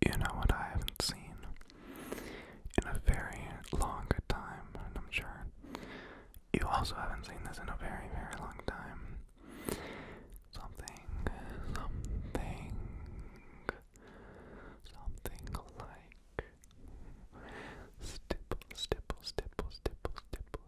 You know what I haven't seen in a very long time, and I'm sure you also haven't seen this in a very, very long time. Something, something, something like stipple, stipple, stipple, stipple, stipple,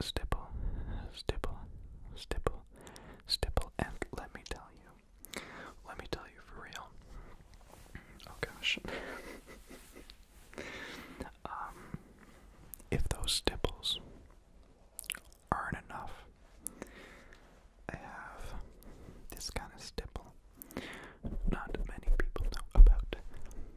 stipple, stipple, stipple, stipple, and let me tell you, let me tell you for real. Oh gosh. um, if those stipples aren't enough, I have this kind of stipple. Not many people know about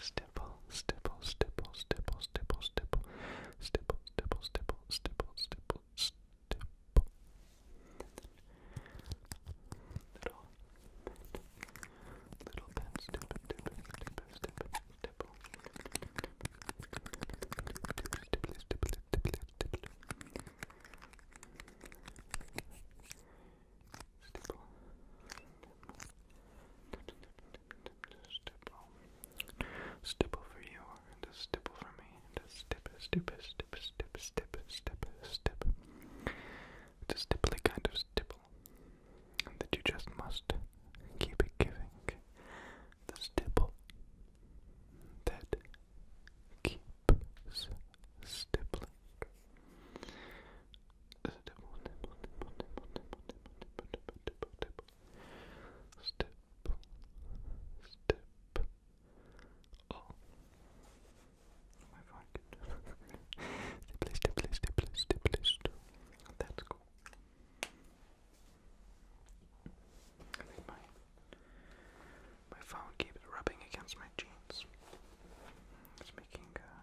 stipple, stipple, stipple, stipple, stipple, stipple, stipple, stipple, stipple, stipple, stipple, stipple. Little, little pen, stipple, stipple, stipple, stipple, stipple. Stipple, stipple, stipple, stipple. Stipple. Stipple stipple, stipple for you, and a stipple for me, and a stip, stip, stip, stip, stip, stip, stip. a stipply kind of stipple that you just must keep it giving. The stipple that keeps stippling step. Oh, my phone can. Stipple, stipple, stipple, stipple, stipple. That's cool. I think my my phone keeps rubbing against my jeans. It's making uh,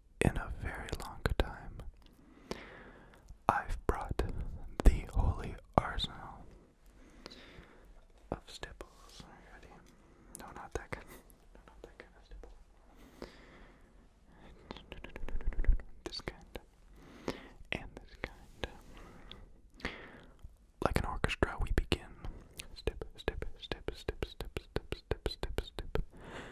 in a very long time. I've brought the holy arsenal of stipples already. No, not that kind. No, not that kind of stipple. This kind and this kind. Like an orchestra, we begin. Step, step, step, step, step, step, step, step, step.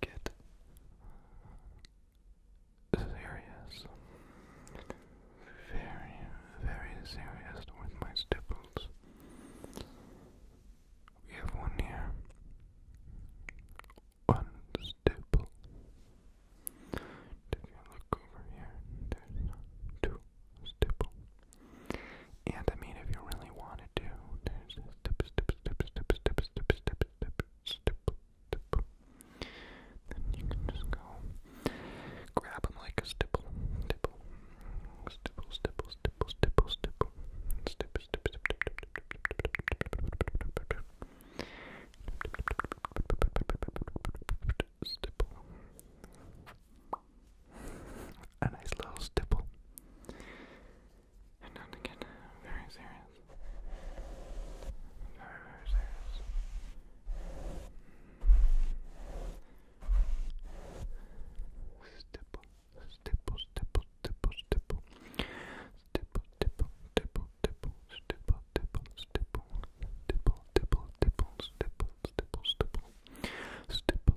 get serious, very, very serious with my stipples. We have one here, one stipple. If you look over here, there's two stipple. And I mean, if you really wanted to, there's this you can just go grab them like a stipple, stipple, stipple, stipple, stipple, stipple, stipple, stipple, stipple, a nice little stipple. And not to very serious. Very, very serious. stipple, stipple. Stipple, stipple, stipple, stipple, stipple, stipple, stipple. Stipple, stipple, stipple, stipple, stipple, stipple. Stipple,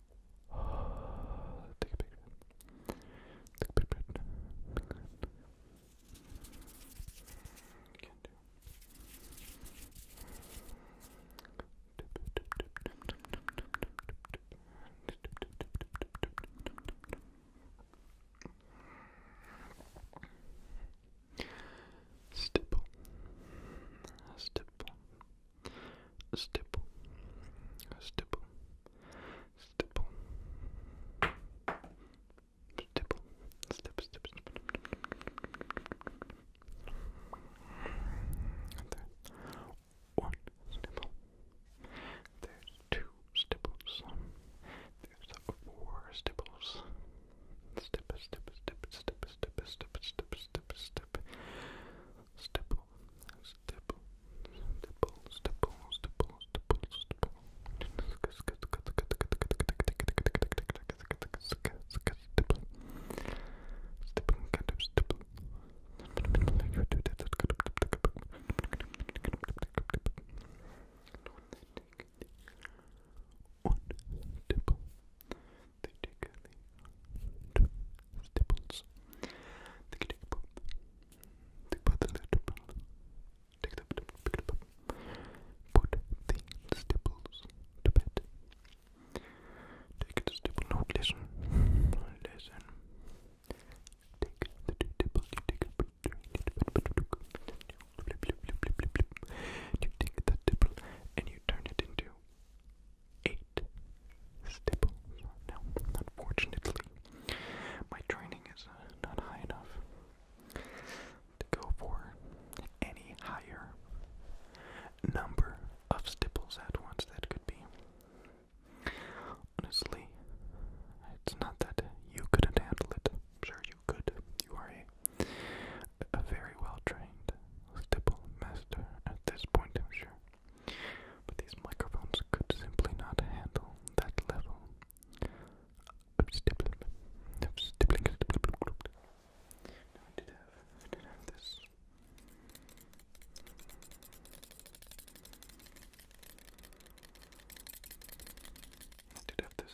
Take a picture. Take a picture. Can do. Stipple, stipple, stipple, stipple, stipple, stipple, stip, stip, stip, there's one stipple, there's two stipples, there's four stipples, stip, stip, stip, stip, stip, stip, stip, stip, stip, stipple, stipple, stipple, stipple, stipple, stipple, stipple. Stipple, stipple, kind of stipple. You do that. One, stipple. They take the staples. take the pop. They put the little ball. Take the pop, pick Put the staples to bed. Take the staple. No, listen. Listen. Take the two tables. You take a bit. You take that table and you turn it into eight staples. Now, unfortunately, my training is uh, not high enough to go for any higher number of stipples at once that could be. Honestly, it's not that you couldn't handle it. I'm sure you could. You are a, a very well trained stipple master at this point, I'm sure. But these microphones could simply not handle that level I did have, I did have this. I did have this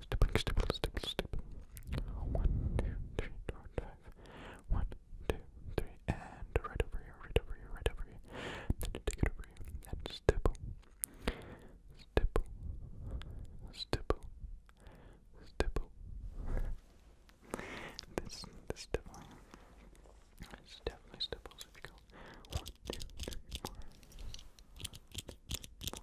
Stippling, stipple, stipple, stipple. One, two, three, four, five. One, two, three, and right over here, right over here, right over here. Then take it over here stipple. Stipple. Stipple. Stipple. This this definitely this definitely stipples if you go one, two, three, four. One, two, three, four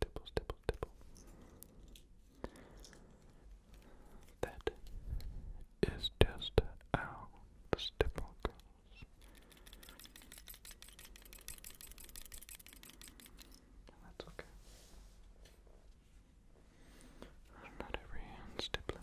Dibble, dibble, dibble. That is just how the stipple goes. That's okay. Not every hand stippling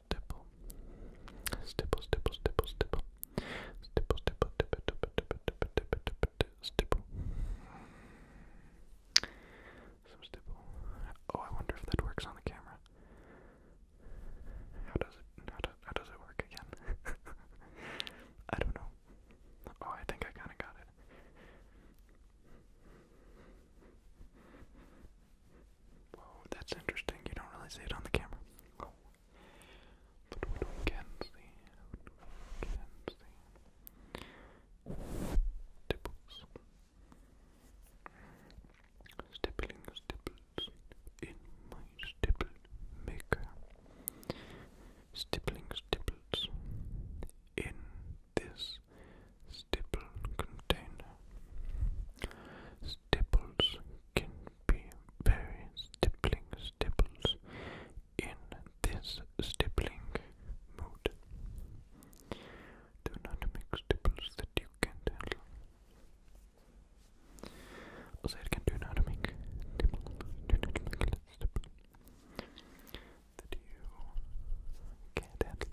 stipple, stipple, stipple, stipple, stipple, stipple, stipple, stipple, stipple, stipple, stipple, stipple, stipple. Some Oh, I wonder if that works on the camera. How does it? How does it work again? I don't know. Oh, I think I kind of got it. Whoa, that's interesting. You don't really see it on the camera. But we can see. We Stippling stipples in my stipple maker. Stippling stipples in this stipple container staples can be very stippling staples in this stippling mood. Do not make staples that you can't handle. Oh, also, it can do not make staples, do not make staples that you can't handle.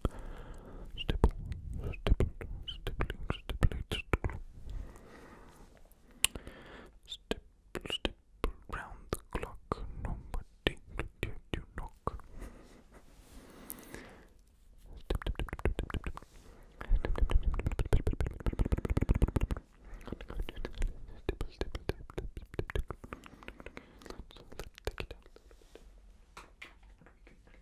Stipple, stipple, stippling, stippling, stipple. Stipple, round the clock, nobody did you knock.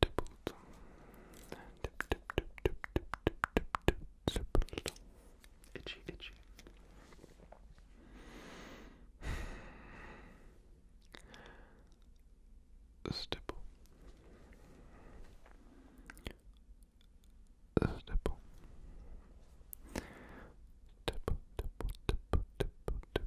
Tip, tip, tip, tip, tip, tip, tip, tip, itchy, itchy. Stipple. Stipple. Tip, tip, tip, tip, tip,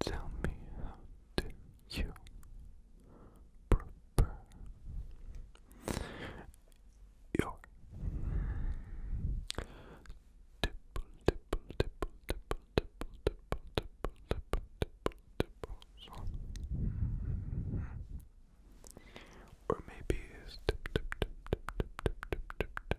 Tell me how do you prepare your tipple tipple tipple tipple tipple tipple tipple tipple tipple tipples or maybe it's tip tip tip tip tip tip tip tip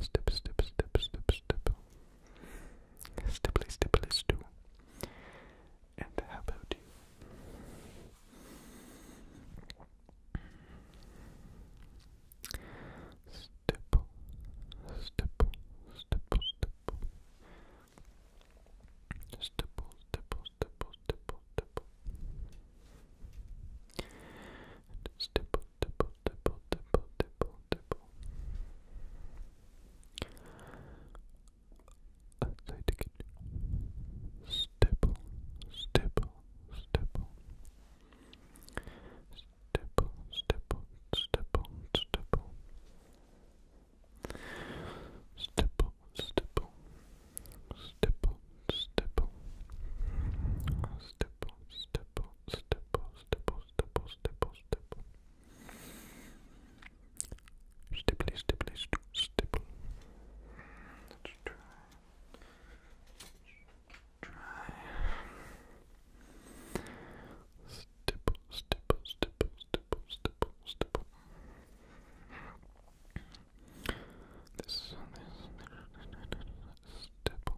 Step, step, step, step, step. Stipply, stipply, stew. And how about you? Step, step, step, step. Stipple, stipple, stipple, stipple, stipple. And stipple, Tipple, tipple, tipple, tipple, tipple. I stipple, stipple. Stipple, stipple, stipple, stipple. Stipple, stipple, stipple, stipple. Stipple, stipple, stipple, stipple, stipple, stipple, stipple. Stipply, stipply, stipple. Let's try. try. Stipple, stipple, stipple, stipple, stipple, stipple. This, this, this, this, this, this, this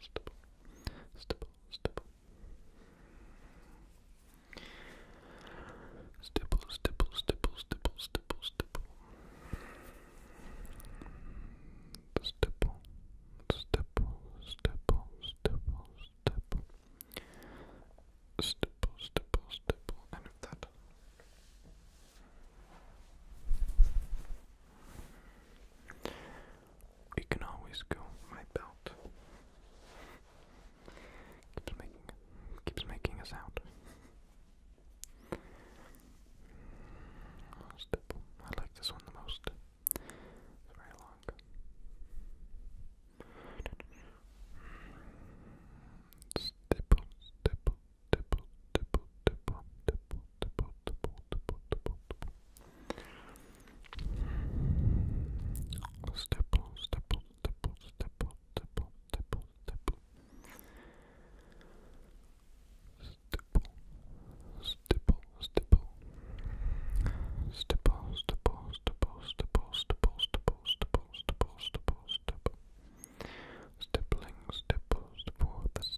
stipple, stipple, stipple, stipple. Stipple, stipple, stipple, stipple, stipple, stipple. Stipple, stipple, stipple, stipple, stipple. Stipple, stipple, stipple, and if that. We can always go my belt. Keeps making keeps making a sound. Stipple. I like this one the most. It's very long. Stipple, stipple, stipple, stipple, stipple, stipple step on, step on, step on, step on, step on, step on, step on. Stipple, stipple, stipple. Stipple, stipple, stipple, stipple, stipple, stipple, stipple, stipple, stipple, stipple. Stippling, stipple, stipple, the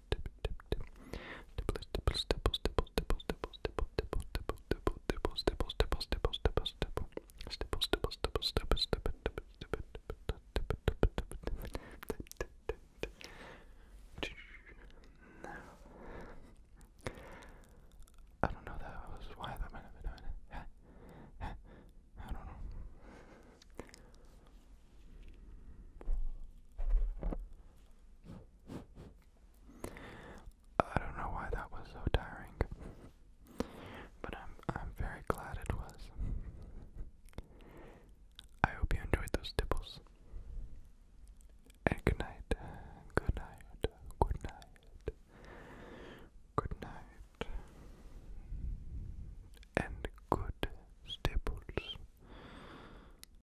I don't know that was why that might have been doing it. I don't know. I don't know why that was so tiring, but I'm I'm very glad it was. I hope you enjoyed those tipples. And good night, good night, good night, good night, and good staples.